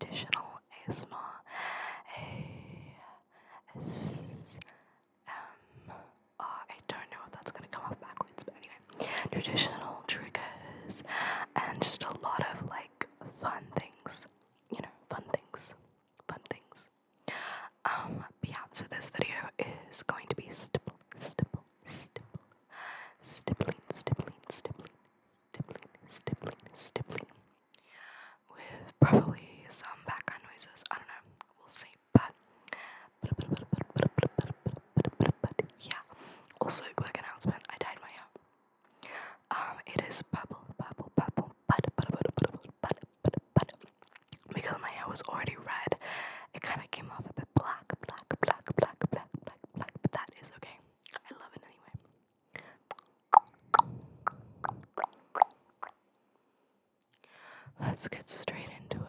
traditional ASMR. ASMR. don't know if that's gonna come off backwards, but anyway. Traditional triggers and just a lot of like fun things. You know, fun things. Fun things. Um, yeah, so this video is going to be stipple, stipple, stipple, stippling, stippling, stippling, stippling, stippling, stippling. With probably some background noises. I don't know. We'll see. But, yeah. Also, quick announcement. I dyed my hair. Um, it is bubble, bubble, bubble, but, but, but, but, but, because my hair was already red, it kind of came off a bit black, black, black, black, black, black, black, but that is okay. Let's get straight into it.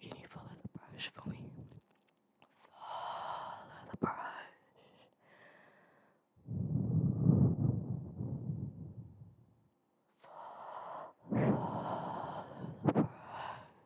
can you follow the brush for me? Follow the brush. Follow the brush.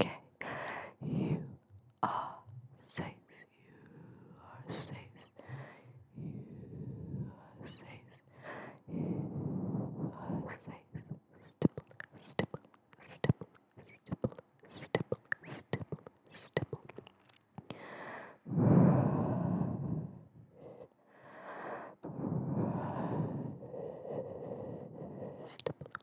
okay. You are safe. You are safe. You are safe. You are safe. Stipple, stipple, stipple, stipple, stipple, stipple, stipple. Stipple,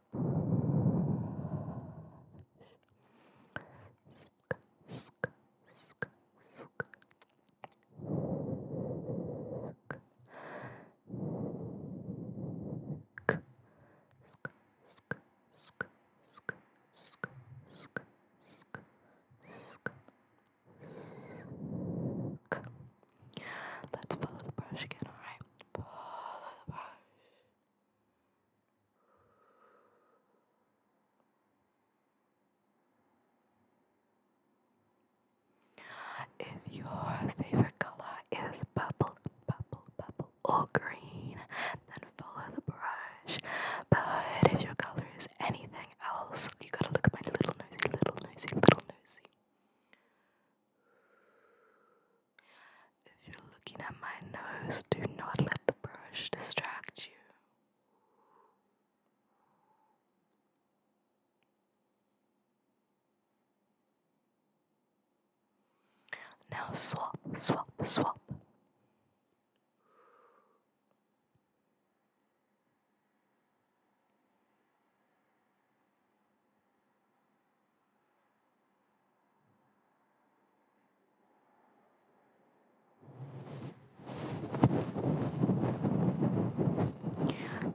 Sk, sk, sk, sk. Sk, sk, sk, sk, sk, sk, sk, sk. Let's follow the brush again, alright? Follow the brush. If your favorite color is purple, purple, purple, or green, then follow the brush. But if your color is anything else, you gotta look at my little nosy, little nosy, little nosy. If you're looking at my nose, do not let the brush distract you. Now swap, swap, swap.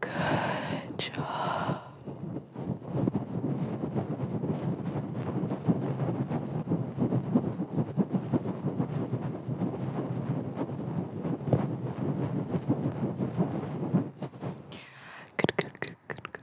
Good job. Good, good, good, good, good,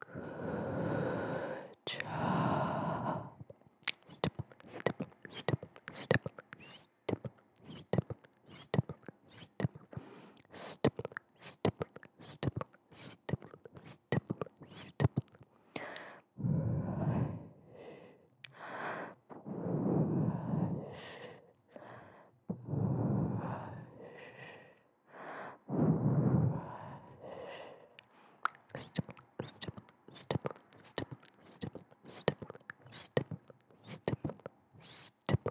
Good job. Stipple, stipple, stipple, stipple, stipple, stipple, stipple, stipple, stipple, stipple, stipple, stipple, stipple, stipple. Brush, brush, Stipple, stipple, stipple, stipple, stipple, stipple, stipple, stipple, stipple.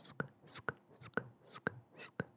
Sk, sk, sk, sk. Sk, sk, sk, sk, sk, sk, sk, sk, sk.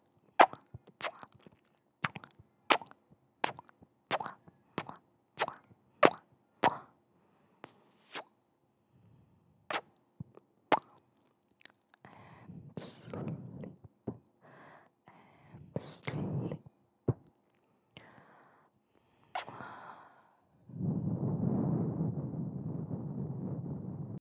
and sleep and sleep.